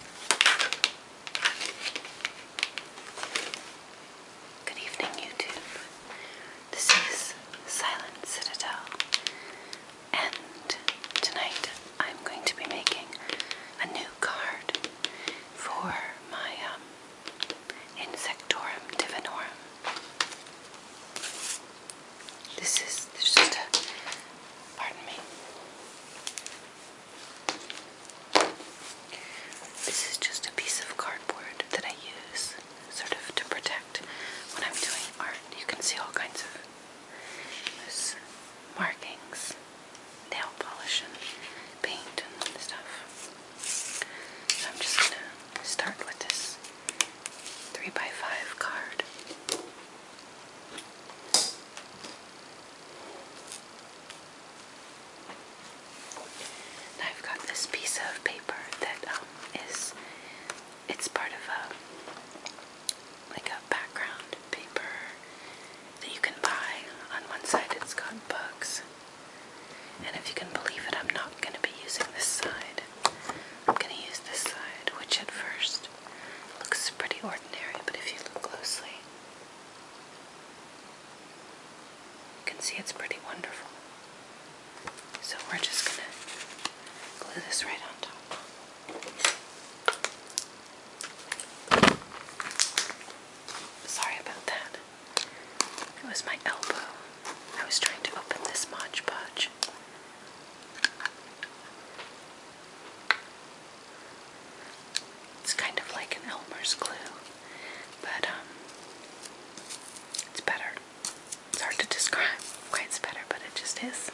Good evening, YouTube. This is Silent Citadel, and tonight I'm going to be making a new card for my um, Insectorum Divinorum. This is, this is just a, pardon me, this is just a piece of cardboard that I use sort of to protect when I'm doing art. You can see all kinds of markings, nail polish, and paint and stuff. So I'm just going to start with this 3x5 card. I've got this piece of paper that um, it's part of a, like a background paper that you can buy. On one side it's got books. And if you can believe it, I'm not going to be using this side. I'm going to use this side, which at first looks pretty ordinary, but if you look closely, you can see it's pretty wonderful. So we're just gonna glue this right on top. Sorry about that. It was my elbow. I was trying to open this Mod Podge. It's kind of like an Elmer's glue, but um, it's better. It's hard to describe why it's better, but it just is.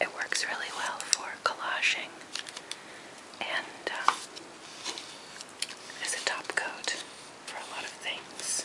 It works really well for collaging and um, as a top coat for a lot of things.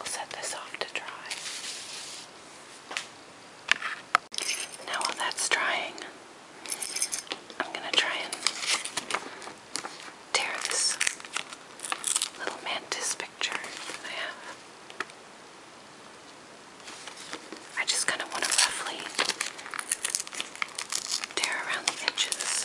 I'll set this off to dry. Now while that's drying, I'm going to try and tear this little mantis picture I have. I just kind of want to roughly tear around the edges.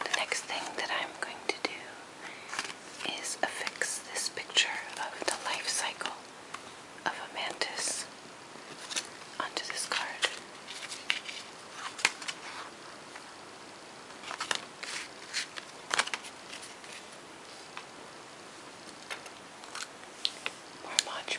The next thing that I'm going to do is affix this picture of the life cycle of a mantis onto this card. More Mod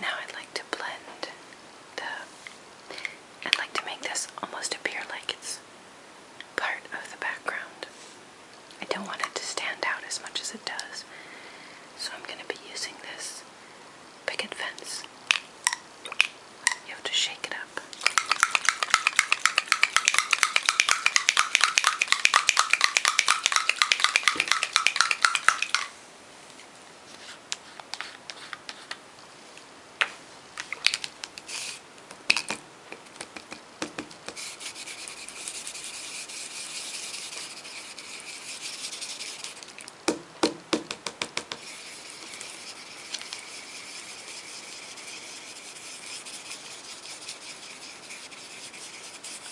Now I'd like to blend the, I'd like to make this almost appear like it's part of the background. I don't want it to stand out as much as it does. So I'm going to be using this picket fence. You have to shake it up.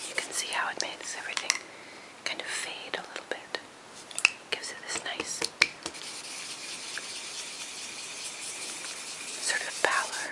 You can see how it makes everything kind of fade a little bit gives it this nice sort of pallor.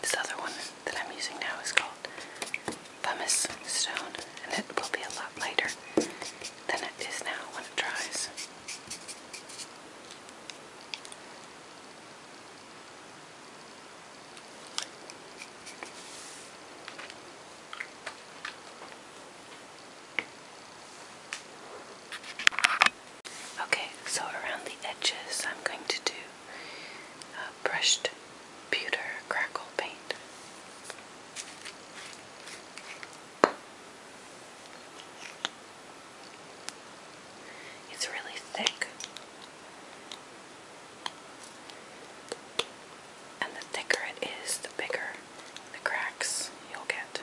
This other one that I'm using now is called pumice stone, and it will be a lot lighter than it is now when it dries. Okay, so around the edges, I'm going to do uh, brushed pewter crackle paint. It's really thick. And the thicker it is, the bigger the cracks you'll get.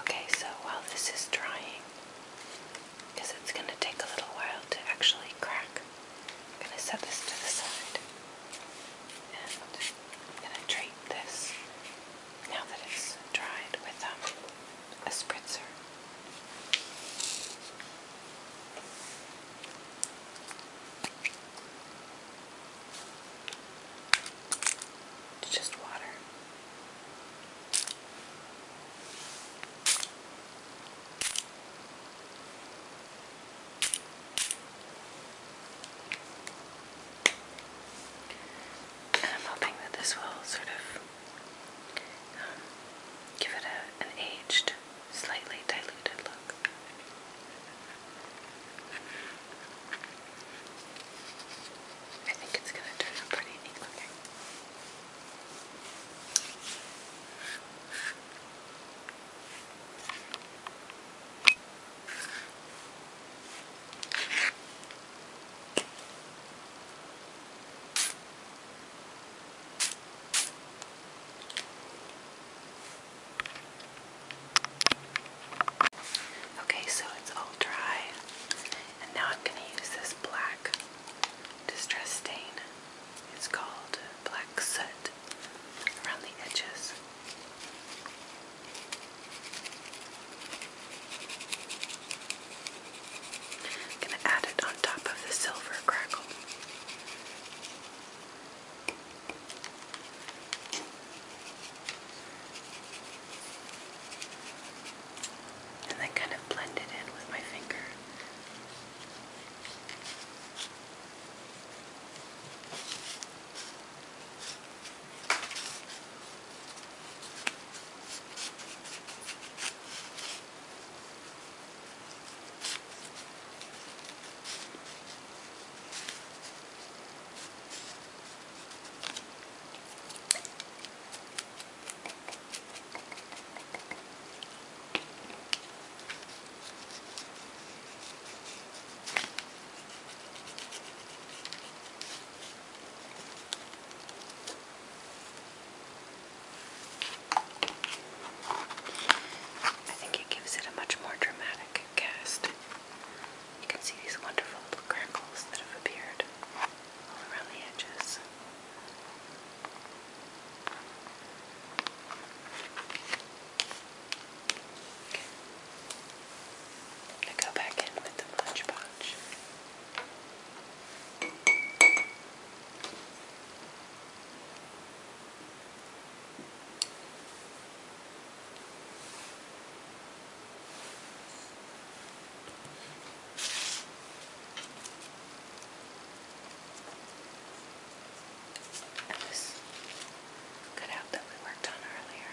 Okay, so while this is drying, it's going to take a little while to actually crack, I'm going to set this to the side and I'm going to treat this now that it's dried with um, a spritzer. It's just water. And I'm hoping that this will sort of um, give it an aged slightly diluted look. I think it's going to turn out pretty neat looking. Okay, so it's all dry. And now I'm going to use this black distress stain. It's called black soot around the edges. going to add it on top of the silver crackle. And then kind of blend it in with my finger. I think it gives it a much more dramatic cast. You can see these wonderful little crackles that have appeared all around the edges. Okay. I'm go back in with the Mod Podge. And this cutout that we worked on earlier.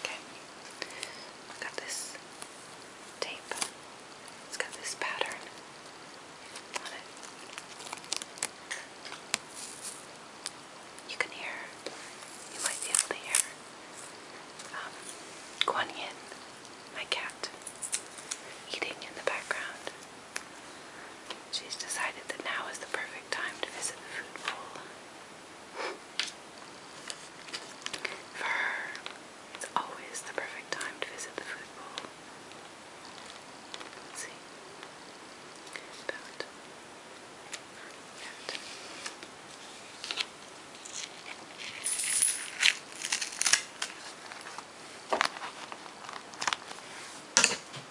Okay, I got this tape. It's got this pattern on it. You can hear, you might be able to hear um, my cat, eating in the background. She's decided that now is the perfect time to visit the food bowl. For her, it's always the perfect time to visit the food bowl. see. About. About.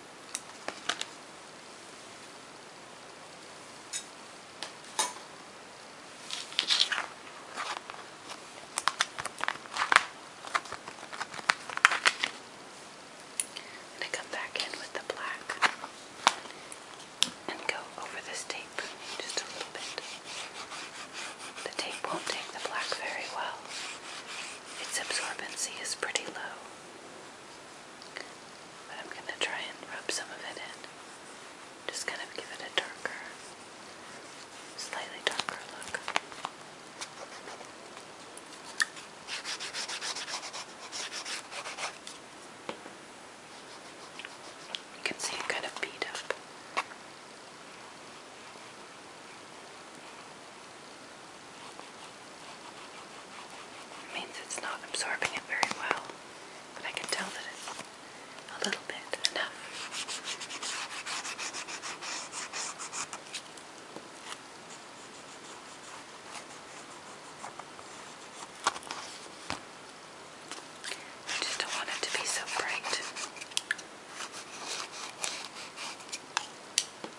I'm going to come back in with the black and go over this tape just a little bit. The tape won't take the black very well. Its absorbency is pretty low. But I'm going to try and rub some of it in. Just kind of give it a darker, slightly darker look. You can see it kind of beat up means it's not absorbing it very well, but I can tell that it's a little bit enough. I just don't want it to be so bright.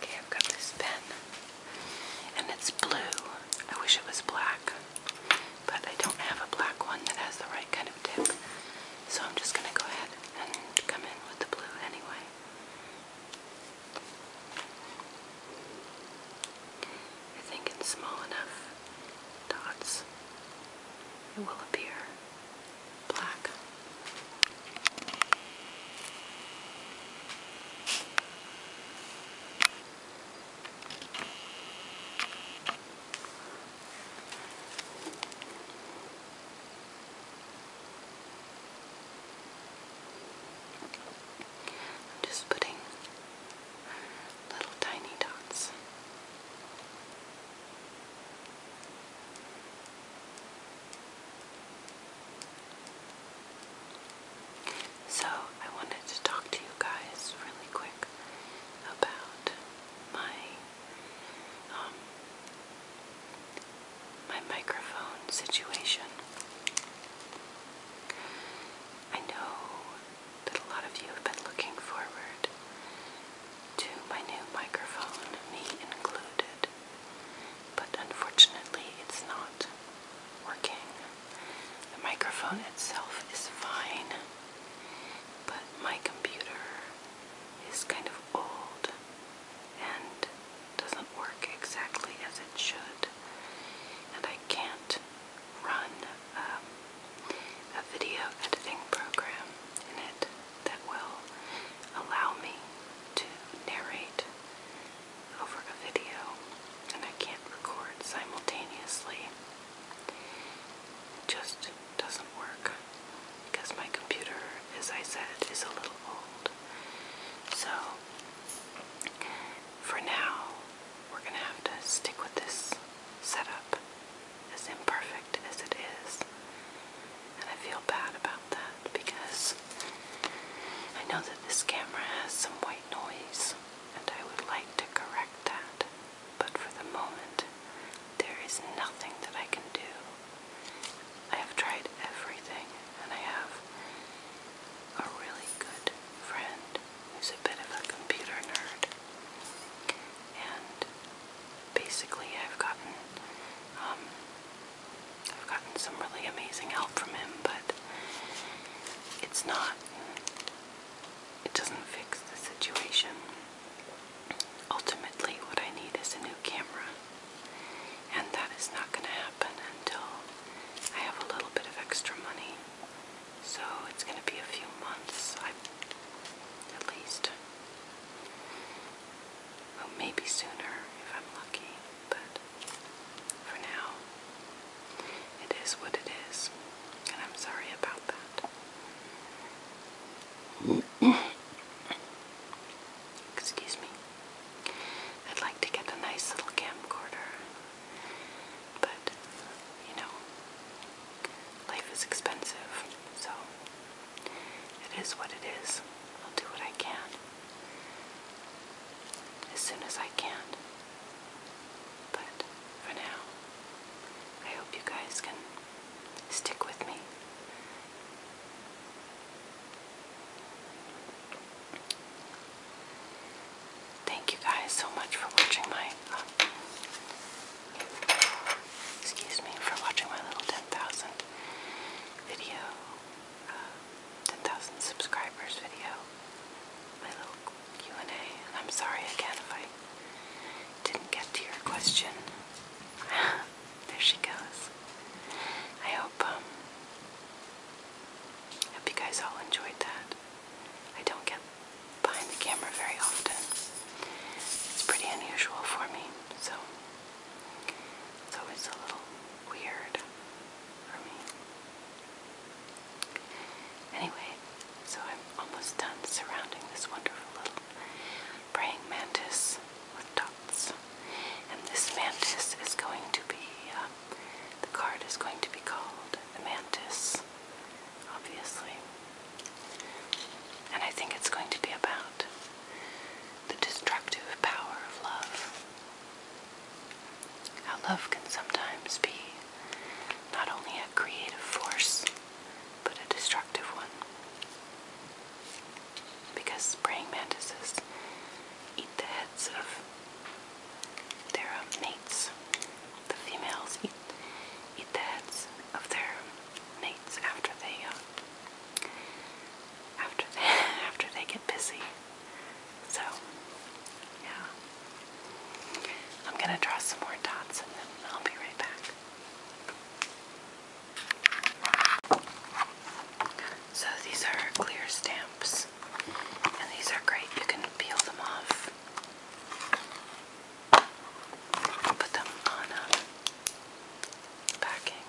Okay, I've got this pen. And it's blue. I wish it was black. But I don't have a black one that has the right kind of tip. So I'm just going to go ahead and come in with the blue anyway. I think in small enough dots it will appear black. I'm just putting little tiny dots. So, I wanted to talk to you guys really quick about my um, my microphone situation. I know that a lot of you have been looking forward to my new microphone, me included, but unfortunately it's not working. The microphone itself is fine, but my computer is kind of old and doesn't work exactly as it should, and I can't run um, a video editing program in it that will allow me to narrate over a video and I can't record simultaneously. just doesn't work because my computer, as I said, is a little old. So for now, we're going to have to stick with this setup, as imperfect as it is. And I feel bad about that because I know that this camera has some white noise and I would like to correct that, but for the moment, there is nothing that I can do. I have tried everything, and I have a really good friend who's a bit of a computer nerd, and basically, I've gotten um, I've gotten some really amazing help from him, but it's not, it doesn't fix the situation. Ultimately, what I need is a new camera, and that is not going to happen until I have a little bit of extra money. So it's going to be a few months, I, at least. Well, maybe sooner if I'm lucky, but for now, it is what it is, and I'm sorry about that. Excuse me. I'd like to get a nice little camcorder, but you know, life is expensive, so it is what it is. I'll do what I can as soon as I can. But for now, I hope you guys can stick with me. Thank you guys so much for watching my, uh, excuse me, for watching my little 10,000 video. Uh, 10,000 subscribers video, my little Q&A, and a i am sorry again if I didn't get to your question. there she goes. I hope, um, hope you guys all enjoyed that. I don't get behind the camera very often. It's pretty unusual for me, so it's always a little weird for me. Anyway, so I'm almost done surrounding this wonderful little praying mantis with dots. And this mantis is going to be, uh, the card is going to be called the mantis, obviously. And I think it's going to be about the destructive power of love. How love can sometimes be not only a creative force, but a destructive one. Because praying mantises eat the heads of their um, mates. The females eat, eat the heads of their mates after they uh, after they after they get busy. So, yeah. I'm going to draw some more dots and then I'll be right back. So these are clear stamps and these are great. You can peel them off. Put them on a backing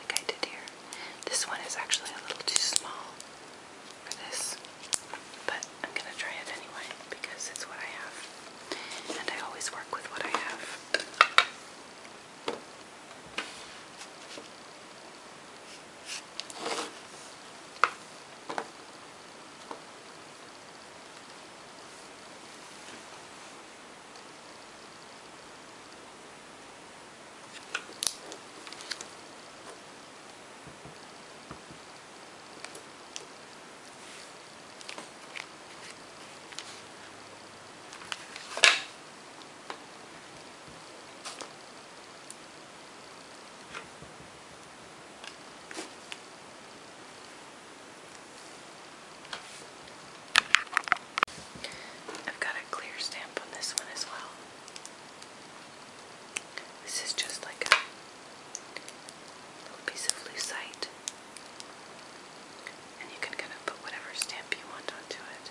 like I did here. This one is actually a little too small for this, but I'm gonna try it anyway because it's what I have, and I always work with what I have. I've got a clear stamp on this one as well. This is just like a little piece of lucite. And you can kind of put whatever stamp you want onto it.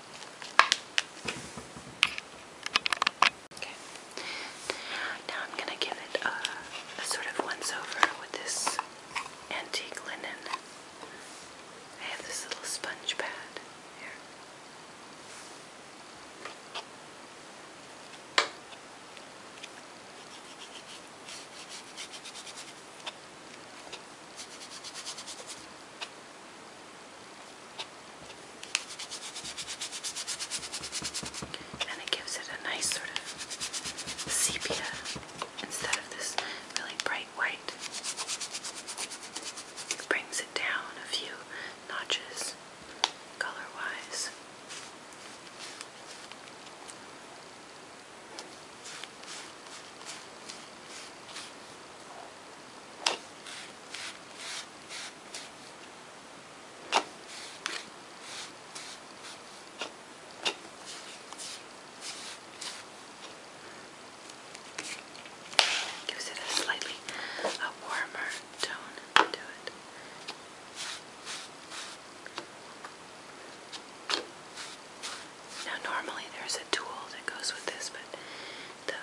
Okay. Now I'm going to give it a, sort of once over with this antique linen. I have this little sponge pad here. And it gives it a nice sort of sepia instead of this really bright white. It brings it down a few notches color wise. Gives it a slightly a warmer tone to it. Now normally there's a tool that goes with this, but the,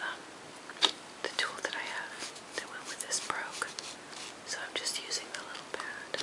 the tool that I have that went with this broke. So I'm just using the little pad.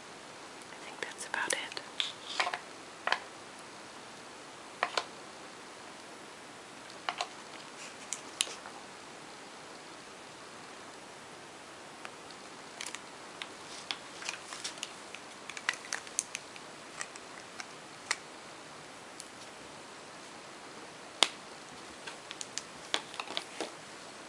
I think that's about it. I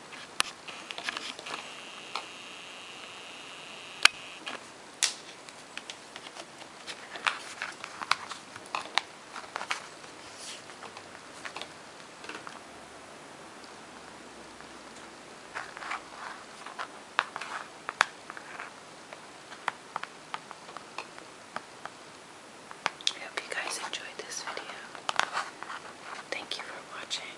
hope you guys enjoyed this video. Thank you for watching.